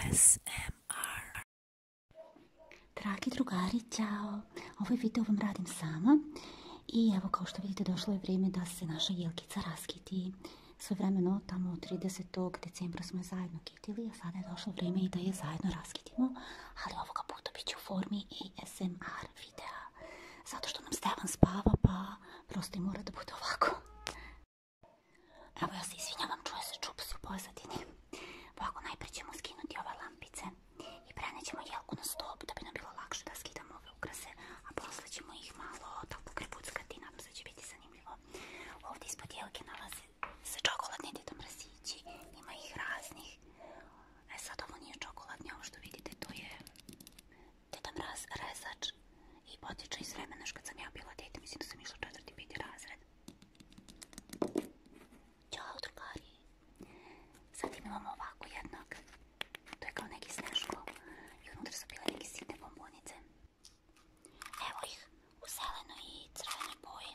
ASMR Dragi drugari, ćao! Ovaj video vam radim sama i evo kao što vidite došlo je vrijeme da se naša jelkica raskiti. Sve vremeno tamo 30. decembra smo je zajedno kitili, a sada je došlo vrijeme i da je zajedno raskitimo, ali ovoga puta bit će u formi ASMR videa. Zato što nam Stevan spava, pa prosto i mora da bude ovako. Evo ja se izvinjavam, čuje se čup u pozadini. Ovako, najprije ćemo skinuti ove lampice i prenećemo jelku na stop da bi nam bilo lakše da skidamo ove ukrase, a posle ćemo ih malo tako krepuckati, nadam se će biti zanimljivo. Ovdje ispod jelke nalaze se čokoladni djeto mrsići, ima ih raznih. E sad ovo nije čokoladni, ovo što vidite, to je djeto mraz rezač i potiče iz vremena što kad sam ja bila dete, mislim da sam išla četvrti biti razred. Ćao, drugari. Sad imamo ovako jednog. To je kao neki sneško. I unutra su bile neke sitne bombonice. Evo ih u zelenoj i crvenoj boji.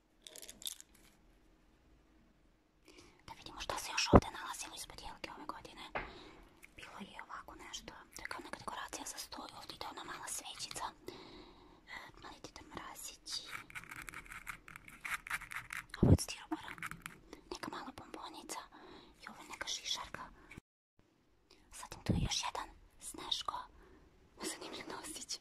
Da vidimo šta se još ovdje nalazilo ispod jelke ove godine. Bilo je ovako nešto. To neka dekoracija za stoj. Ovdje ona mala svećica. E, mali tita mrazić. Ovo je Neka mala bombonica. I ovo neka šišarka. Zatim tu je još jedan sneško. Zanimljiv nosić.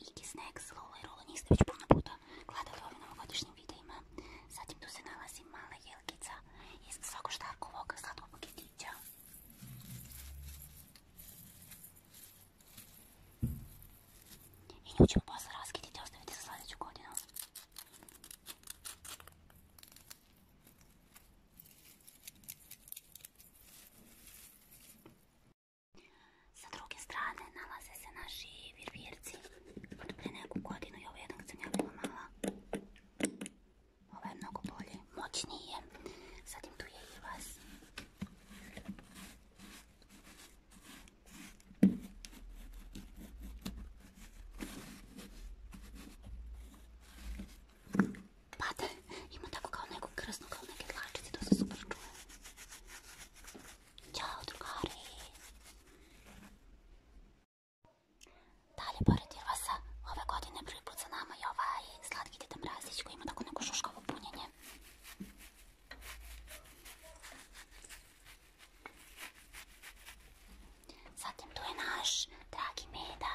Iggy Snacks Lola i Rolo njih ste već puno puta gledali u ovim novogodišnjim videima. Zatim tu se nalazi mala jelkica iz svakoštarkovog sladkog paketića. I nju ćemo posle raskititi i ostaviti za sljedeću godinu. Sa druge strane nalaze se naši virvirci od pre neku godinu i ovaj jednog sam ja bila mala. Ovo je mnogo bolje, moćnije. Sad im tu je i vas. Thank you. Pate, ima tako kao neku krasnu, kao neke dlačice, to se super čuje. Ćao, drugari. Dalje, pored Irvasa, ove godine prvi put sa nama i ovaj slatki Tete Mrazić koji ima tako neko šuškovo punjenje. Zatim tu je naš dragi Meda.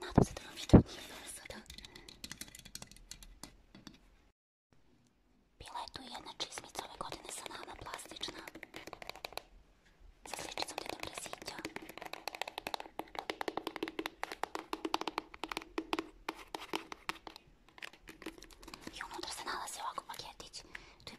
надо задавить sada. Bila je tu jedna čizmica ove godine sa nama, plastična. Sa sličicom Deda Mrazića. I unutra se nalazi ovako paketić. Tu je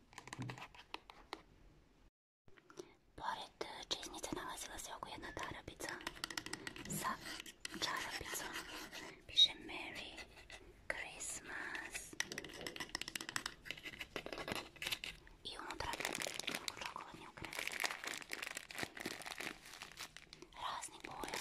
Pored e, čeznice nalazila se oko jedna darabica sa čarabicom. Piše Merry Christmas. I unutra je mnogo čokoladnih ukrasa. Raznih boja.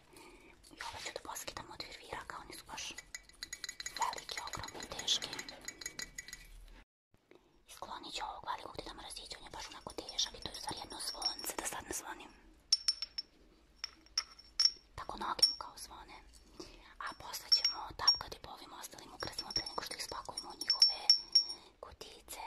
I ove ću da poskidam od virviraka, oni su baš velike, ogromne, teške. I sklonit ću ovog velikog gdje da mrazit, on je baš onako težak i to je u stvari jedno zvonce, da sad ne zvonim. Tako noge mu kao zvone. A posle ćemo tapkati po ovim ostalim ukrasima pre nego što ih spakujemo u njihove kutice.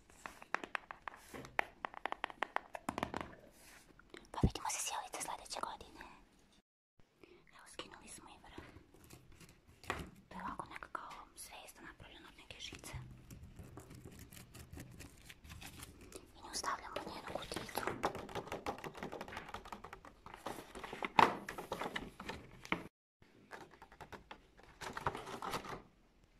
Pa vidimo se sjelice sljedeće godine. Evo, skinuli smo i vrat. To je ovako nekakav zvezda napravljena od neke žice. I nju stavljamo u njenu kutijicu.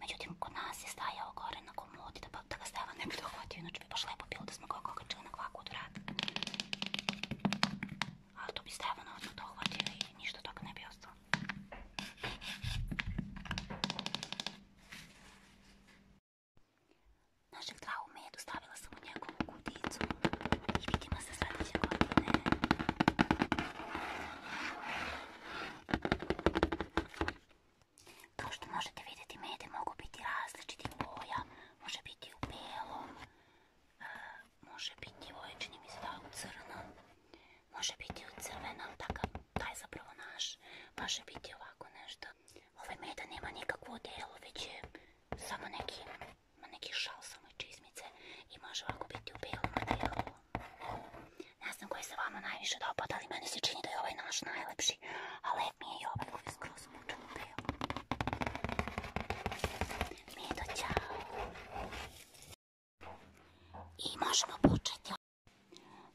Međutim, kod nas je stajao gore na komodi da, pa- da ga stajala ne bi dohvatio. Inače bi baš lepo bilo da smo ga okačili na kvaku od vrata. Ali to bi Stevana odmah dohvatio i ništa toga ne bi ostalo. Našeg dravu medu stavila sam u njegovu kudicu. I vidimo se sljedeće godine. To što možete vidjeti, mede mogu biti različiti boja. Može biti u belom, e, može biti u ojčini, mislim da u crnom, može biti u crvenom, takav, taj zapravo naš. Može biti ovako nešto. Ove meda nema nikakvo delo, već je samo neki, neki šal, samo čizmice. I može ovako biti u belom delu. Ne znam koji se vama najviše dopada, ali meni se čini da je ovaj naš najlepši. A lep mi je i ovaj koji je skroz mučan u beo. Mi je to ćao. I možemo početi.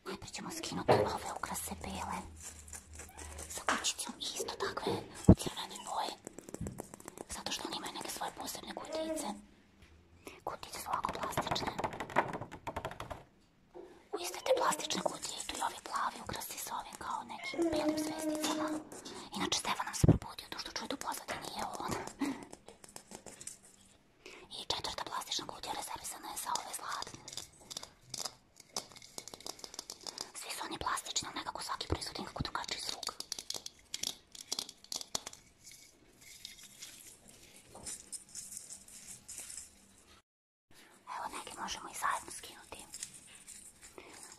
Najprej ćemo skinuti ove ukrase bele. Sa kućicom isto takve u crvene boje. Zato što oni imaju neke svoje posebne kutice. Kutice su ovako plastične. U iste te plastične kutije i tu i ovi plavi ukrasi s ovim kao nekim belim zvesticama. Inače, Stefan nam se probudio to što čuje tu pozadu, nije on. I četvrta plastična kutija rezervisana je za ove zlatne. Svi su oni plastični, ali nekako svaki proizvod je nekako drugačiji zvuk. Evo neke možemo i zajedno skinuti.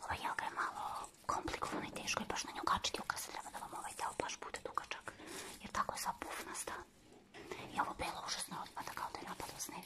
Ova joga je malo komplikovana i teško je baš na nju kačiti ukrasa. Treba da vam ovaj deo baš bude dugačak. Jer tako je sva pufnasta. I ovo belo užasno odpada kao da je napadao sneg.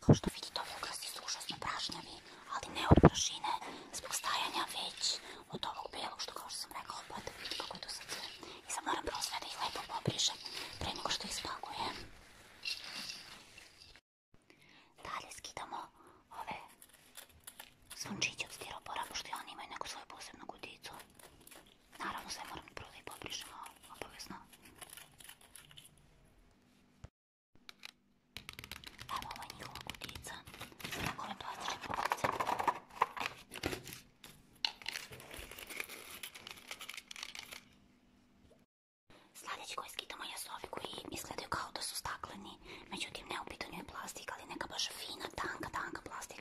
Kao što vidite, ovi ukrasi su užasno prašnjavi, ali ne od prašine, zbog stajanja, već od ovog belog što, kao što sam rekao, opet vidite kako je tu sad sve. I sad moram prvo sve da ih lepo pobrišem, pre nego što ih spakujem. Dalje skidamo ove Sunčić od stiropora, pošto i oni imaju neku svoju posebnu guticu. Naravno, sve moram prvo da i poprišem, a obavezno. Evo, ovo je njihova gutica. Tako vam to je lipovice. Sladeći koje skitamo jesu ovi koji izgledaju kao da su stakleni. Međutim, ne u pitanju je plastika, ali neka baš fina, tanka, tanka plastika.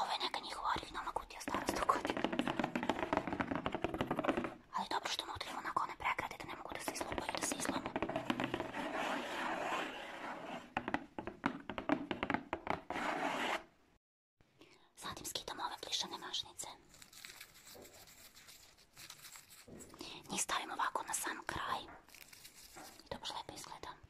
Ovo je neka njihova originalna kutija stara sto godina. Ali dobro što unutra ima onako one pregrade da ne mogu da se izlupaju, da se izlome. Zatim skitam ove plišane mašnice. Njih stavim ovako na sam kraj. I to baš izgleda.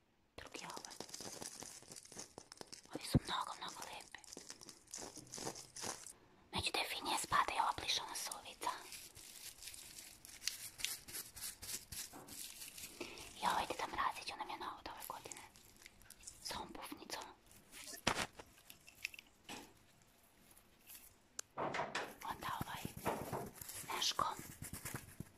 druge ove. Ovi su mnogo, mnogo lepe. Među definije spada i ova plišana sovica. I ovaj teta mrazić, ona mi je na od ove godine. S ovom bufnicom. Onda ovaj, neškom.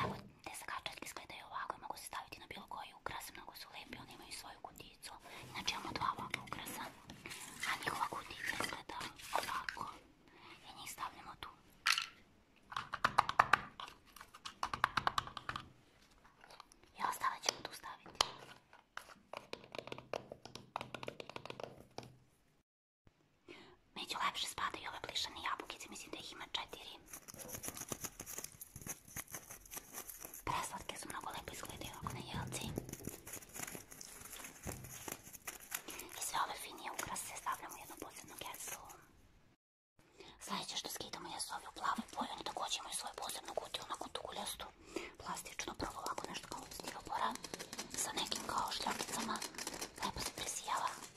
Evo, te skačetke izgledaju ovako i mogu se staviti na bilo koji ukras. Mnogo su lepi, oni imaju svoju kuticu. Inače imamo dva ovakva ukrasa. A njihova kutica izgleda ovako. I njih stavljamo tu. I ostale ćemo tu staviti. Među lepše spadaju ove plišane jabukice, mislim da ih ima četiri. Preslatke su mnogo lepo izgledaju ovako na jelci. I sve ove finije ukrase stavljamo u jednu posebnu geslu. Sljedeće što skidamo je su ove u plavoj boji, oni također imaju svoju posebnu kutiju, onako tu guljastu, plastično, prvo ovako nešto kao stivopora, sa nekim kao šljakicama, lepo se presijava.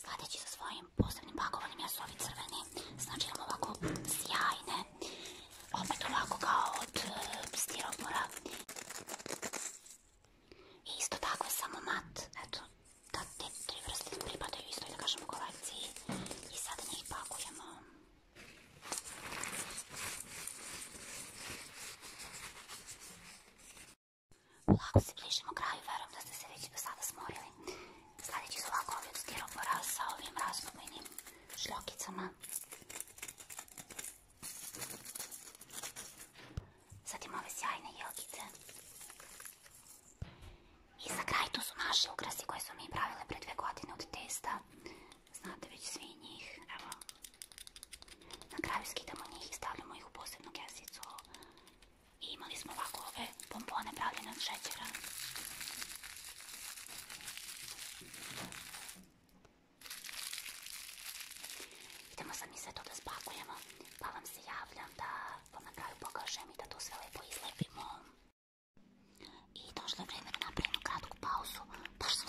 Sladeći sa svojim posebnim pakovanim, ja su ovi crveni. Znači imam ovako sjajne. Opet ovako kao od uh, stiropora. isto tako samo mat. Eto, da te tri vrste pripadaju isto, kažemo, kolekciji. I sad njih pakujemo. Lako se bližimo kraju, verujem da ste se već do sada smorili. Sljedeći su lako ovaj od stiropora sa ovim razlobenim šljokicama. Zatim ove sjajne jelkice. I za kraj tu su naši ukrasi koje su mi pravile pre dve godine od testa. Znate već svi njih. Evo. Na kraju skidamo njih i stavljamo ih u posebnu kesicu. imali smo ovako ove pompone pravljene od šećera. Idemo sad mi sve to da spakujemo, pa vam se javljam da vam na kraju pokažem i da to sve lepo izlepimo. I došlo je vrijeme da napravimo kratku pauzu, baš sam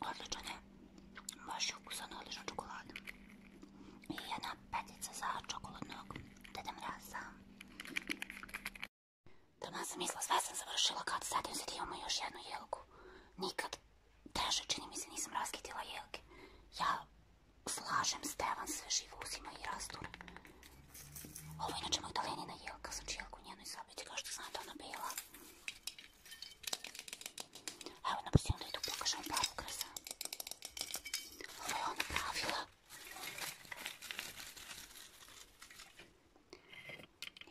Odličan je. Baš je ukusan odlična čokolada. I jedna petica za čokoladnog Deda Mraza. Tamo sam mislila, sve sam završila kad sadim se ti imamo još jednu jelku. Nikad teže čini mi se nisam raskitila jelke. Ja slažem Stevan sve živo uzima i rasture. Ovo je inače moj talenina jelka, sam čijelku njenoj sobiti, kao što znate ona bila. Evo, na brzinu da idu pokažem pravu krasa. Ovo je ona pravila.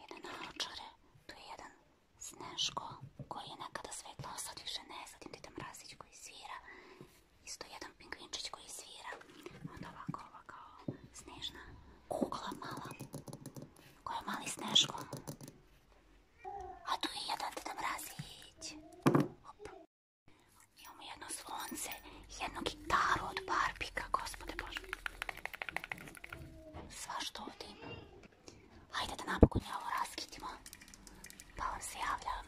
Jedan naočare, tu je jedan Sneško koji je nekada svetlo, a sad više ne, sad im ti tam razić koji svira. Isto ovako, ovako, snežna. Snežna kugla mala. Ko je mali Sneško. A tu je jedan teta mrazić. Imamo jedno slonce i jednu gitaru od Barbika, gospode Bože. Sva što ovdje ima. Hajde da napokon ja ovo raskitimo. Pa vam se javljam.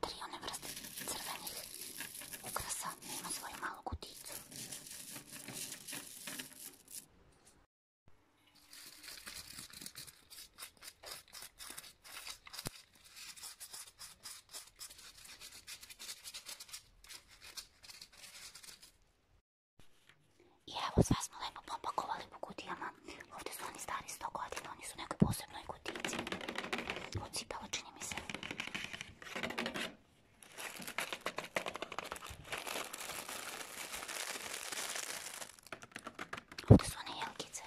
tri one vrste crvenih ukrasa ima svoju malu kuticu. I evo, sva smo lepo popakovali po kutijama. Ovdje su oni stari 100 godina, oni su nekoj posebnoj kutice. Ocipalo čini mi se. Ovdje su one jelkice.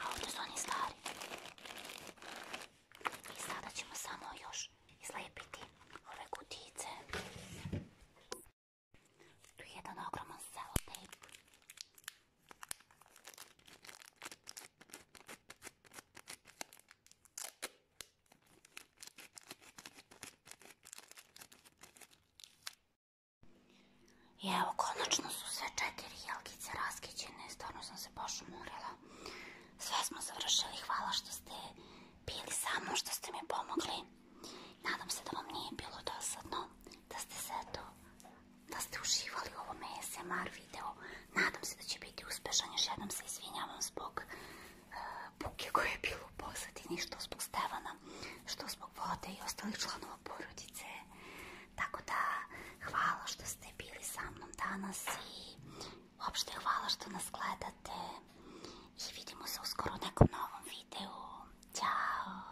A ovdje su oni stari. I sada ćemo samo još izlepiti ove kutice. Tu je jedan ogroman selotejp. I evo, konačno su sve četiri jelkice raskićene, stvarno sam se baš umorila. Sve smo završili, hvala što ste bili sa mnom, što ste mi pomogli. Nadam se da vam nije bilo dosadno, da ste se eto da ste uživali u ovom ASMR video. Nadam se da će biti uspešan. Još jednom se izvinjavam zbog e, buke koje je bilo u pozadini, što zbog Stevana, što zbog vode i ostalih članova porodice. Tako da, hvala što ste bili sa mnom danas i uopšte hvala što nas gledate i vidimo se uskoro u nekom novom videu. Ćao!